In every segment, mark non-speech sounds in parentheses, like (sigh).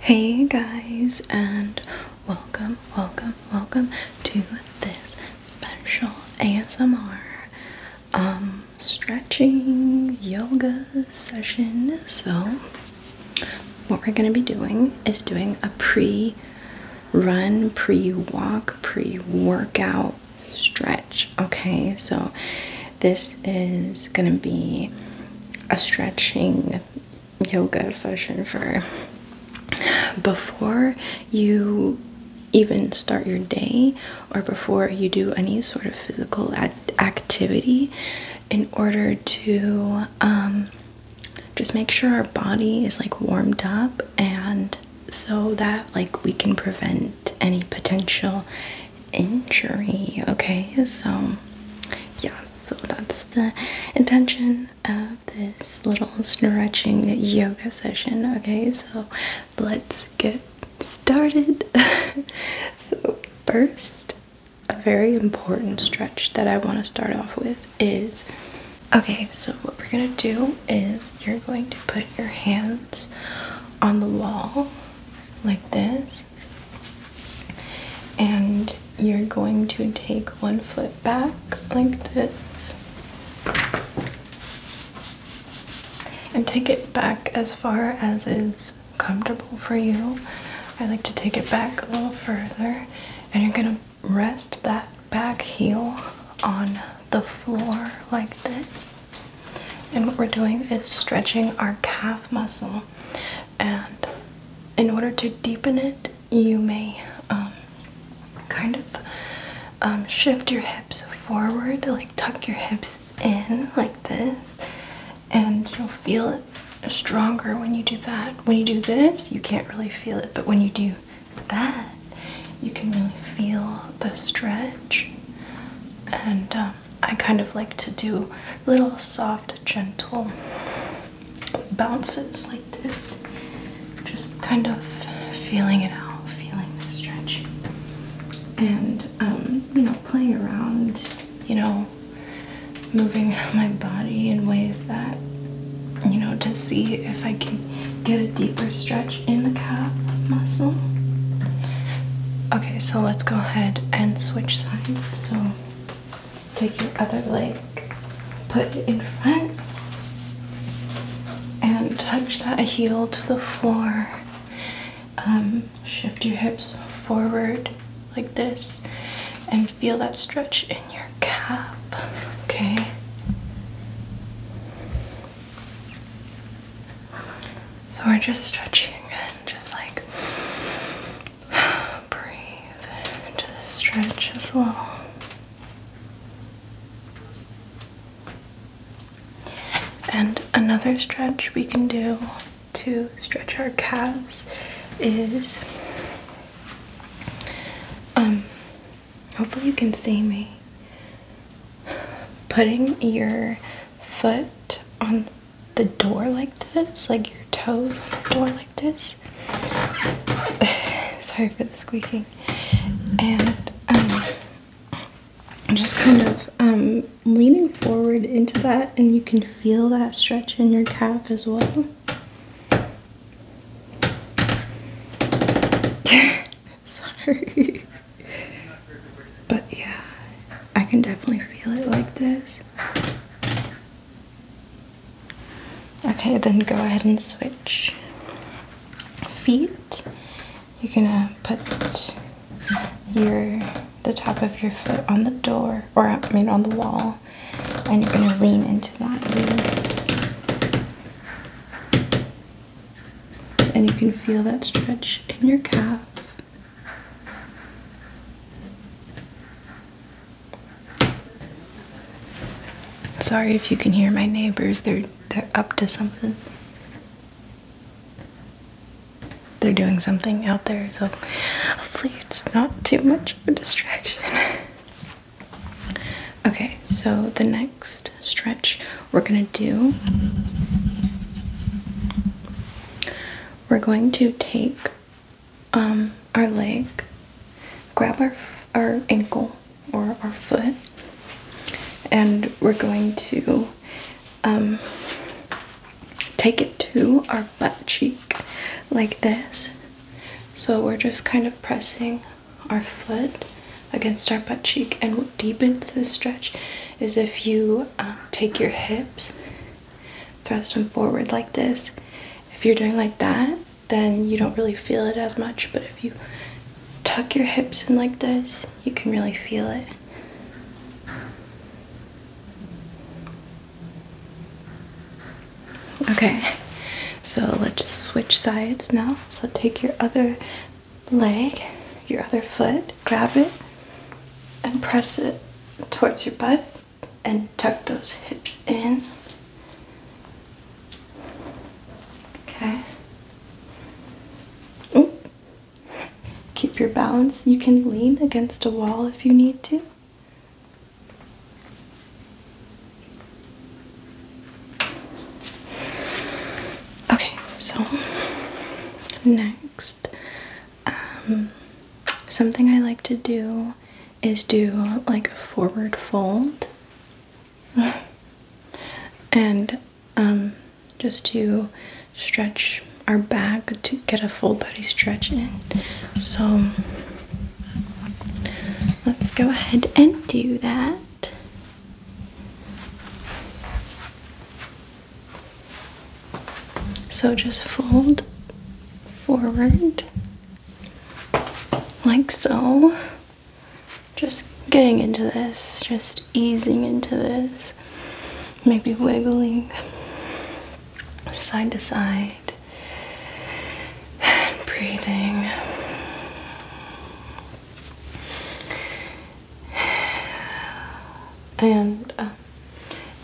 Hey guys, and welcome, welcome, welcome to this special ASMR um stretching yoga session. So, what we're going to be doing is doing a pre run, pre walk, pre workout stretch. Okay, so this is gonna be a stretching yoga session for before you even start your day or before you do any sort of physical activity in order to um, just make sure our body is like warmed up and so that like we can prevent any potential injury. Okay, so yeah, so that's the intention of this little stretching yoga session. Okay, so let's get started. (laughs) so, first, a very important stretch that I want to start off with is okay, so what we're gonna do is you're going to put your hands on the wall like this and you're going to take one foot back like this. And take it back as far as is comfortable for you. I like to take it back a little further. And you're going to rest that back heel on the floor like this. And what we're doing is stretching our calf muscle and in order to deepen it, you may um, kind of um, shift your hips forward, like tuck your hips in, like this, and you'll feel it stronger when you do that. When you do this, you can't really feel it, but when you do that, you can really feel the stretch and um, I kind of like to do little soft, gentle bounces like this. Just kind of feeling it out, feeling the stretch. And, um, you know, playing around, you know, moving my body in ways that, you know, to see if I can get a deeper stretch in the calf muscle. Okay, so let's go ahead and switch sides. So take your other leg, put it in front, and touch that heel to the floor. Um, shift your hips forward like this and feel that stretch in your calf, okay? So we're just stretching and just like (sighs) Breathe into the stretch as well. And another stretch we can do to stretch our calves is um hopefully you can see me putting your foot on the door like this, like your toes on the door like this. (sighs) Sorry for the squeaking. And um, just kind of um, leaning forward into that, and you can feel that stretch in your calf as well. (laughs) Sorry. But yeah, I can definitely feel it like this. Okay, then go ahead and switch feet. You're gonna put your the top of your foot on the door, or I mean on the wall, and you're gonna lean into that. And you can feel that stretch in your calf. Sorry if you can hear my neighbors. They're they're up to something. They're doing something out there, so hopefully it's not too much of a distraction. (laughs) Okay, so the next stretch we're going to do we're going to take um, our leg, grab our, our ankle or our foot, and we're going to um, take it to our butt cheek like this. So we're just kind of pressing our foot against our butt cheek, and what deepens the stretch is if you um, take your hips thrust them forward like this. If you're doing like that, then you don't really feel it as much, but if you tuck your hips in like this, you can really feel it. Okay, so let's switch sides now. So take your other leg, your other foot, grab it, and press it towards your butt and tuck those hips in. Okay. Ooh. Keep your balance. You can lean against a wall if you need to. Okay, so next, um, something I like to do do is do like a forward fold (laughs) and um, just to stretch our back to get a full body stretch in. So let's go ahead and do that. So just fold forward like so. Just getting into this, just easing into this, maybe wiggling side to side, and breathing. And uh,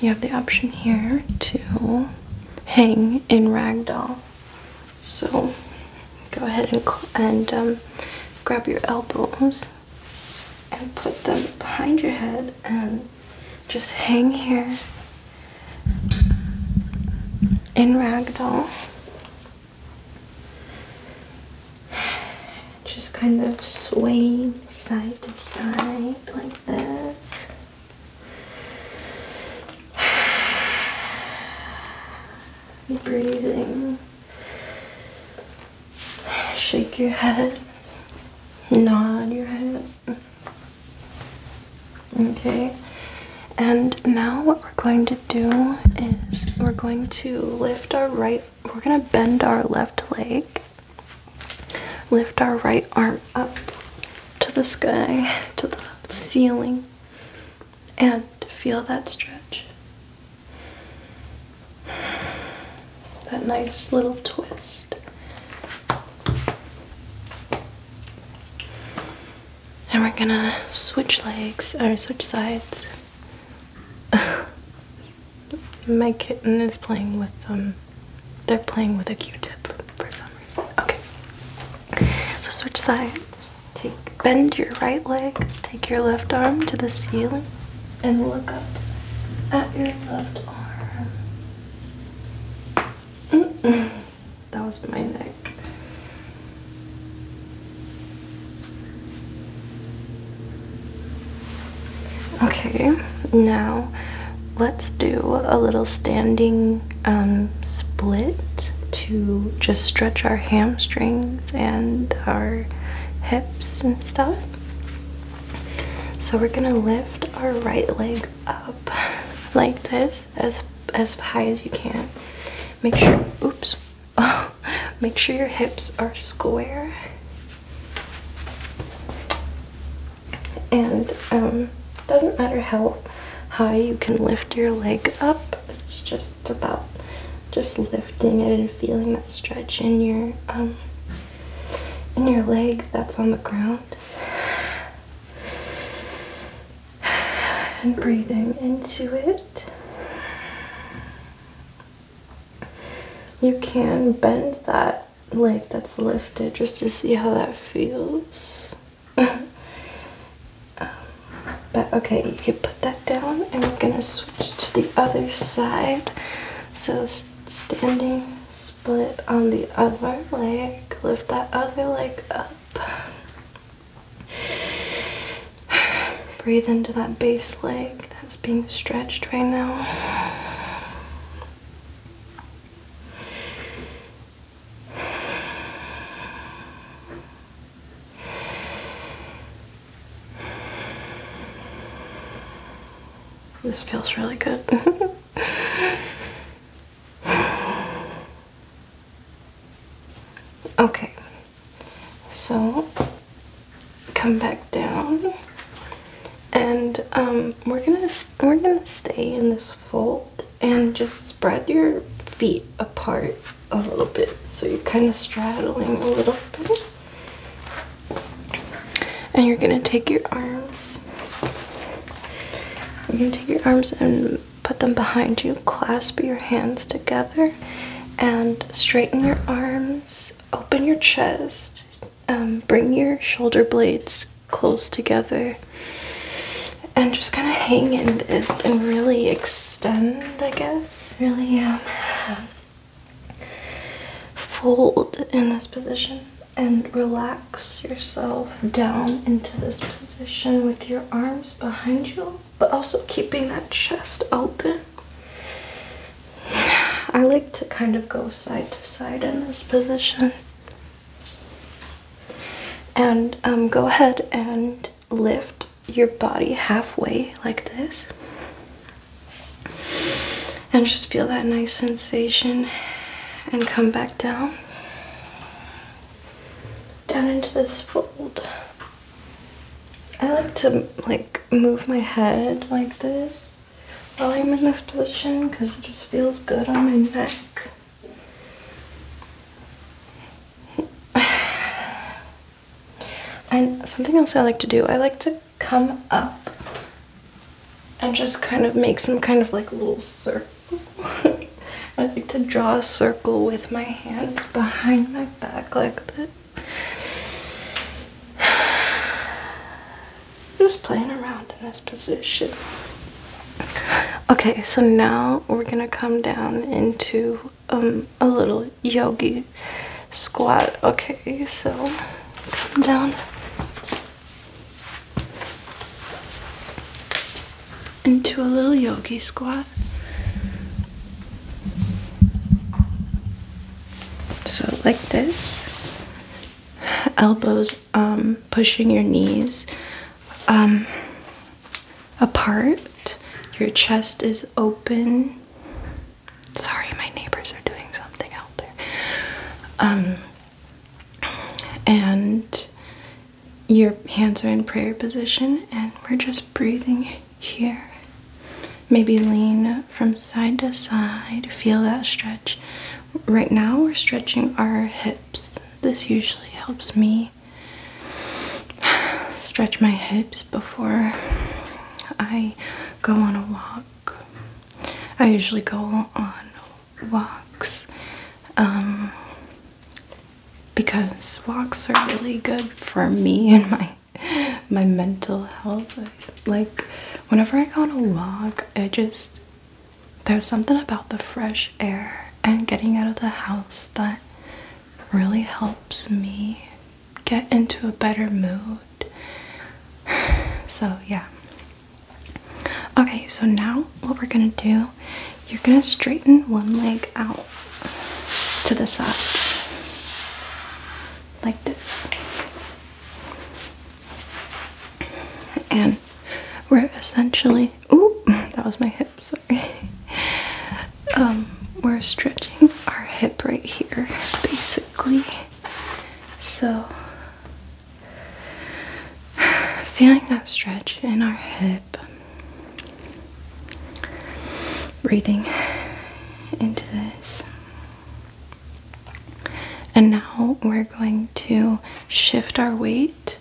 you have the option here to hang in ragdoll. So go ahead and, and um, grab your elbows and put them behind your head and just hang here in ragdoll. Just kind of swaying side to side like this. (sighs) Breathing. Shake your head. Nod your head. Okay. And now what we're going to do is we're going to lift our right, we're going to bend our left leg Lift our right arm up to the sky, to the ceiling, and feel that stretch. That nice little twist. And we're gonna switch legs or switch sides. (laughs) My kitten is playing with them. Um, they're playing with a Q-tip for some reason. Okay. So switch sides. Take bend your right leg. Take your left arm to the ceiling and look up at your left arm. That was my neck. Okay, now let's do a little standing um, split to just stretch our hamstrings and our hips and stuff. So we're gonna lift our right leg up like this as as high as you can. Make sure oops (laughs) make sure your hips are square and um, doesn't matter how high you can lift your leg up. It's just about just lifting it and feeling that stretch in your um, in your leg that's on the ground. And breathing into it. You can bend that leg that's lifted just to see how that feels. (laughs) Um, but okay, you can put that down and we're gonna switch to the other side. So standing split on the other leg, lift that other leg up. (sighs) Breathe into that base leg that's being stretched right now. This feels really good. (laughs) okay, so come back down, and um, we're gonna we're gonna stay in this fold and just spread your feet apart a little bit so you're kind of straddling a little bit. And you're going to take your arms. You're going to take your arms and put them behind you, clasp your hands together, and straighten your arms, open your chest, um, bring your shoulder blades close together and just kind of hang in this and really extend, I guess. Really um, fold in this position and relax yourself down into this position with your arms behind you, but also keeping that chest open. I like to kind of go side to side in this position. And um, go ahead and lift your body halfway like this. And just feel that nice sensation and come back down. Down into this fold. I like to like move my head like this while I'm in this position because it just feels good on my neck. (sighs) And something else I like to do, I like to come up and just kind of make some kind of like little circle. (laughs) I like to draw a circle with my hands behind my back like this. (sighs) (sighs) just playing around in this position. Okay, so now we're gonna come down into um, a little yogi squat. Okay, so come down into a little yogi squat. So, like this, elbows um, pushing your knees um, apart. Your chest is open. Sorry, my neighbors are doing something out there. Um, and your hands are in prayer position, and we're just breathing here. Maybe lean from side to side, feel that stretch. Right now, we're stretching our hips. This usually helps me stretch my hips before I go on a walk. I usually go on walks um, because walks are really good for me and my my mental health. Like whenever I go on a walk, I just there's something about the fresh air and getting out of the house that really helps me get into a better mood. (sighs) So, yeah. Okay, so now what we're gonna do, you're gonna straighten one leg out to the side, like this. And we're essentially stretching. (laughs) that was my hip, sorry. Um, we're stretching our hip right here, basically. So, (sighs) feeling that stretch in our hip, breathing into this. And now we're going to shift our weight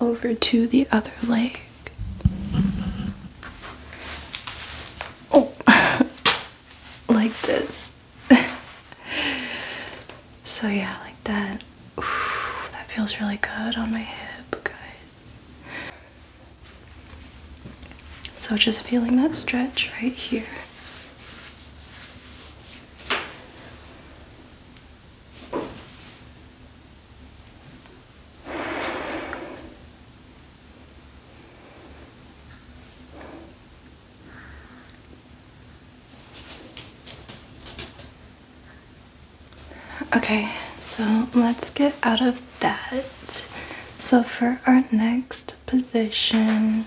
over to the other leg. Oh, (laughs) like this. (laughs) so, yeah, like that. that feels really good on my hip. Good. So, just feeling that stretch right here. Okay, so let's get out of that. So for our next position,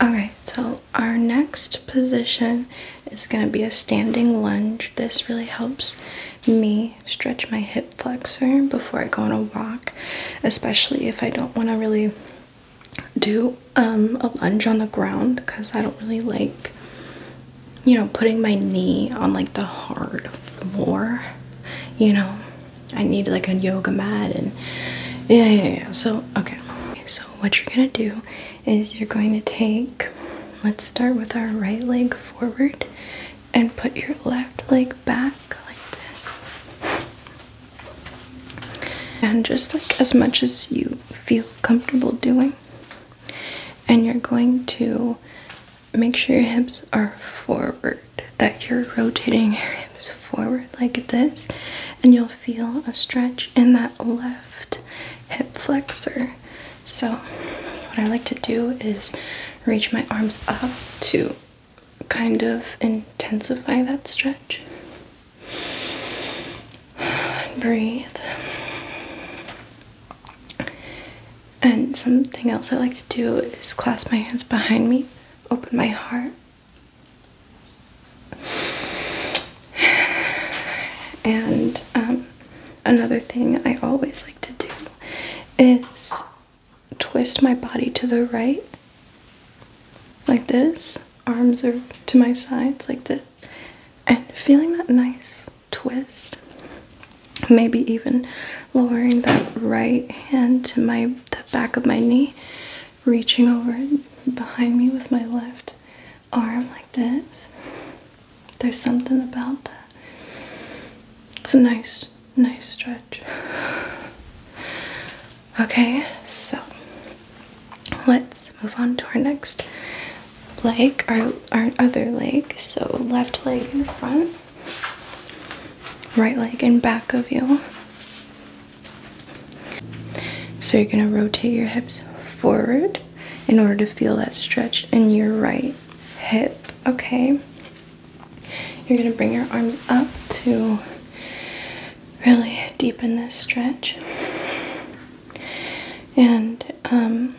all right, so our next position is going to be a standing lunge. This really helps me stretch my hip flexor before I go on a walk, especially if I don't want to really do um, a lunge on the ground because I don't really like, you know, putting my knee on like the hard floor. You know, I need like a yoga mat and yeah, yeah, yeah. So, okay. So, what you're going to do is you're going to take, let's start with our right leg forward and put your left leg back like this. And just like as much as you feel comfortable doing. And you're going to make sure your hips are forward, that you're rotating your hips forward like this, and you'll feel a stretch in that left hip flexor. So, what I like to do is reach my arms up to kind of intensify that stretch. And breathe. And something else I like to do is clasp my hands behind me, open my heart, and um, another thing I always like to do is twist my body to the right, like this. Arms are to my sides, like this. And feeling that nice twist. Maybe even lowering that right hand to my the back of my knee, reaching over behind me with my left arm like this. There's something about that. It's a nice, nice stretch. Okay, so let's move on to our next leg, our, our other leg. So left leg in front, right leg in back of you. So you're gonna rotate your hips forward in order to feel that stretch in your right hip. Okay. You're going to bring your arms up to really deepen this stretch. And um,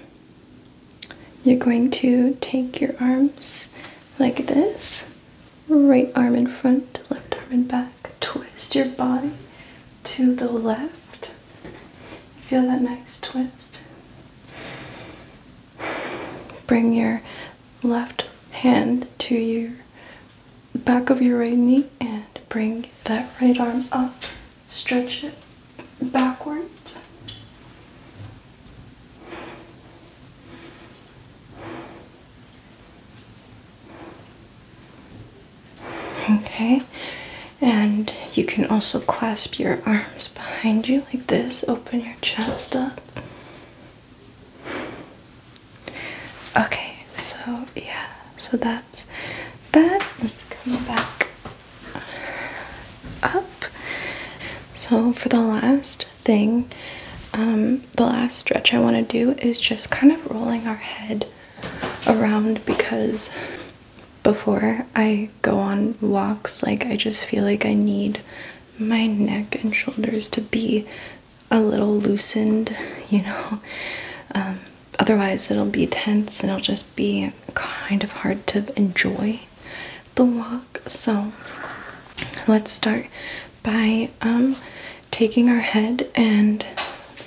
you're going to take your arms like this right arm in front, left arm in back. Twist your body to the left Feel that nice twist. Bring your left hand to your back of your right knee and bring that right arm up. Stretch it backwards. Okay, and you can also clasp your arms behind you like this, open your chest up. Okay, so yeah, so that's that. Let's come back up. So, for the last thing, um, the last stretch I want to do is just kind of rolling our head around because before I go on walks. Like, I just feel like I need my neck and shoulders to be a little loosened, (laughs) you know. Um, otherwise, it'll be tense and it'll just be kind of hard to enjoy the walk. So, let's start by um, taking our head and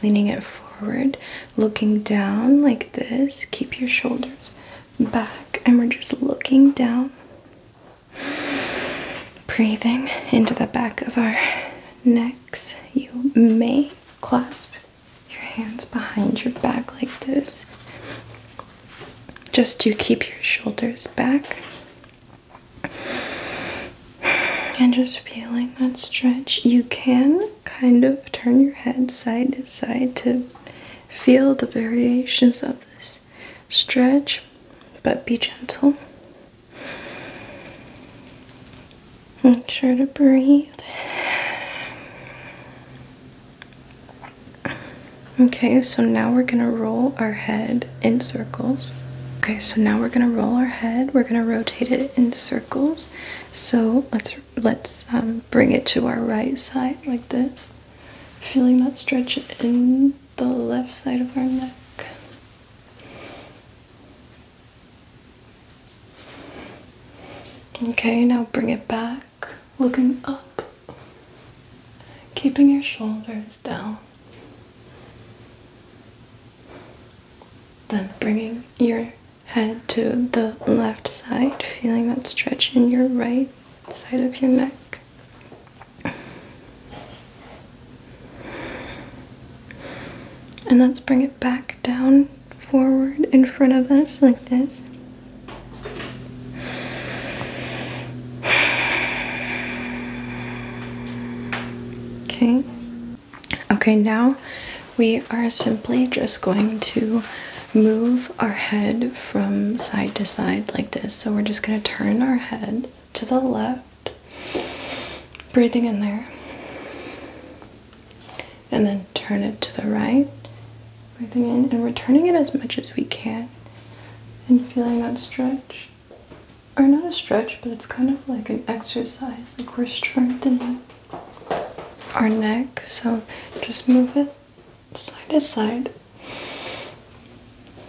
leaning it forward, looking down like this. Keep your shoulders back, and we're just looking down, breathing into the back of our necks. You may clasp your hands behind your back like this just to keep your shoulders back and just feeling that stretch. You can kind of turn your head side to side to feel the variations of this stretch, but be gentle. Make sure to breathe. Okay, so now we're gonna roll our head in circles. Okay, so now we're gonna roll our head. We're gonna rotate it in circles. So let's let's um, bring it to our right side like this feeling that stretch in the left side of our neck okay now bring it back looking up keeping your shoulders down then bringing your head to the left side, feeling that stretch in your right side of your neck. And let's bring it back down, forward, in front of us, like this. Okay, Okay, now we are simply just going to move our head from side to side like this. So we're just going to turn our head to the left, breathing in there, and then turn it to the right, breathing in, and returning it as much as we can, and feeling that stretch. Or not a stretch, but it's kind of like an exercise, like we're strengthening our neck, so just move it side to side,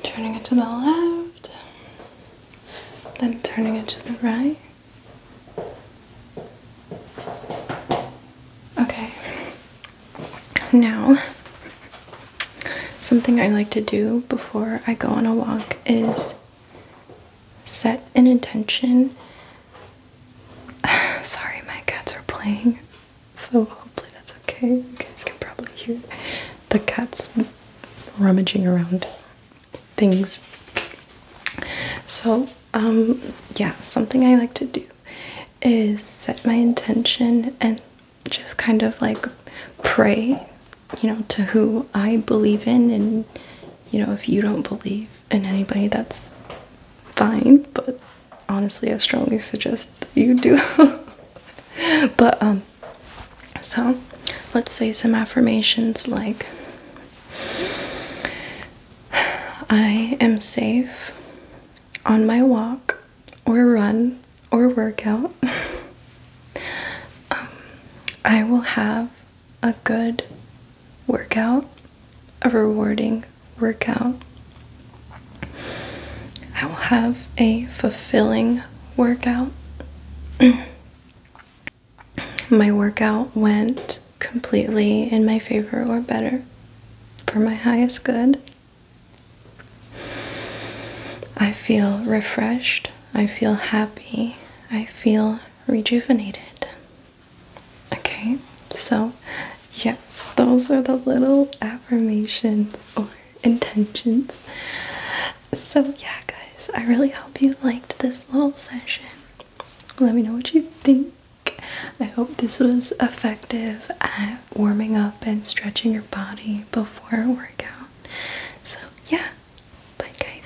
turning it to the left, then turning it to the right. Okay, now something I like to do before I go on a walk is set an intention (sighs) Sorry, my cats are playing, so hopefully that's okay. You guys can probably hear the cats rummaging around things. So, um, yeah, something I like to do is set my intention and just kind of like pray, you know, to who I believe in and you know, if you don't believe in anybody, that's fine, but honestly, I strongly suggest that you do. (laughs) but, um, so let's say some affirmations like, I am safe on my walk or run or workout. (laughs) Um, I will have a good workout, a rewarding workout. I will have a fulfilling workout. (clears throat) my workout went completely in my favor or better for my highest good. I feel refreshed, I feel happy, I feel rejuvenated. Okay, so yes, those are the little affirmations or intentions. So, yeah, guys, I really hope you liked this little session. Let me know what you think. I hope this was effective at warming up and stretching your body before a workout. So, yeah, bye, guys.